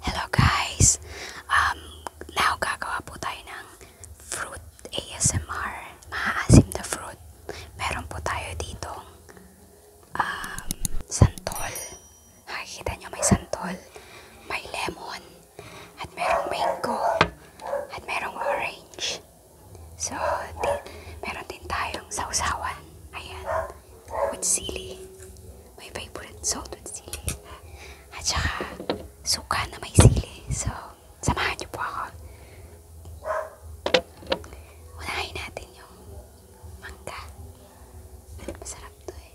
Hello guys! Um, now gagawa po tayo ng fruit ASMR. Maaasim na fruit. Meron po tayo ditong um, santol. Nakikita nyo may santol, may lemon, at merong mango, at merong orange. So, di, meron din tayong sausawan. Ayan. With sili. My favorite salt with sili. At saka, suka na may sili. So, samahan nyo po ako. Unahin natin yung mangga. Masarap to eh.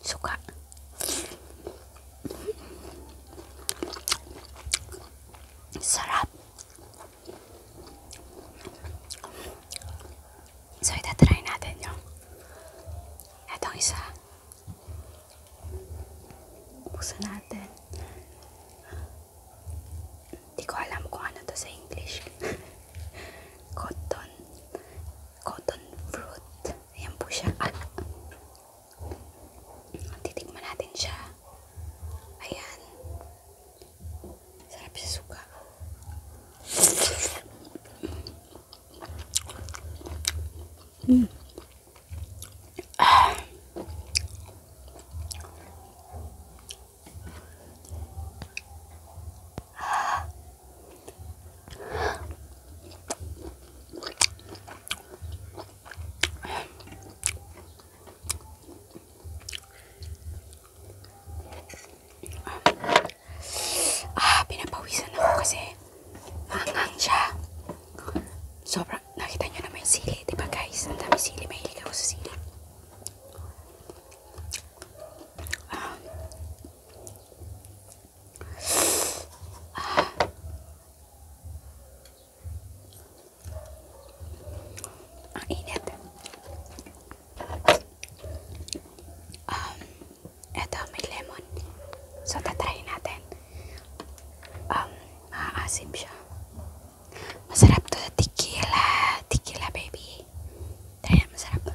Suka. Sarap. So, itatry natin yung etong isa. Buksan natin. Hindi ko alam kung ano to sa English. Cotton. cotton fruit. yang po siya. Ah. Titikman natin siya. Ayan. Sarap siya suka. Hmm. Ah, pinapawisan ako kasi mangang siya. Sobrang, nakita nyo naman yung sili, diba guys? Ang dami sili, mahilig ako sa sili. Um, ang init. Um, eto may lemon. So, tatry natin. Um, maaasim siya. Masarap to. Tequila. Tequila, baby. Try na, masarap.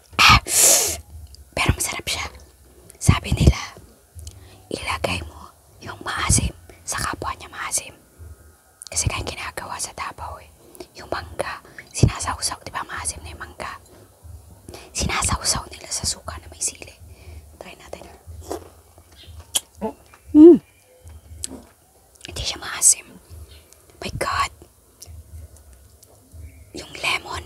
Ah! Pero masarap siya. Sabi nila, ilagay mo yung maasim sa kapwa niya maasim. Kasi kaya ginagawa sa Davao eh. Yung mangga, sinasawsaw, di ba maasim na yung mangga? Sinasawsaw nila sa suka na may sili. Try natin. Mmm! Hindi siya maasim. My God! Yung lemon,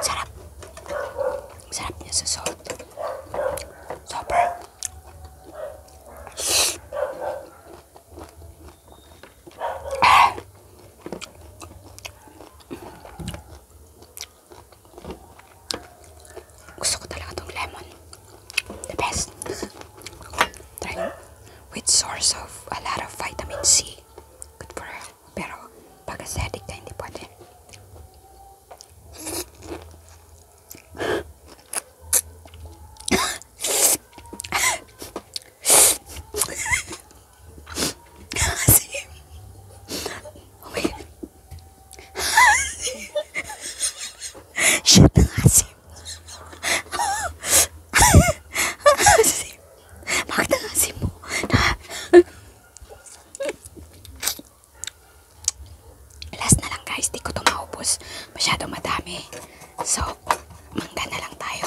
Sarap. Sarap niya sa salt. Super. Ah. Gusto ko talaga itong lemon. The best. Try with source of a lot of vitamin C. Good for health. Pero pag acidic na hindi pwede. Shit, asim. asim. Bakit ang asim mo? Last na lang guys, di ko to maubos. Masyado madami. So, mangga na lang tayo.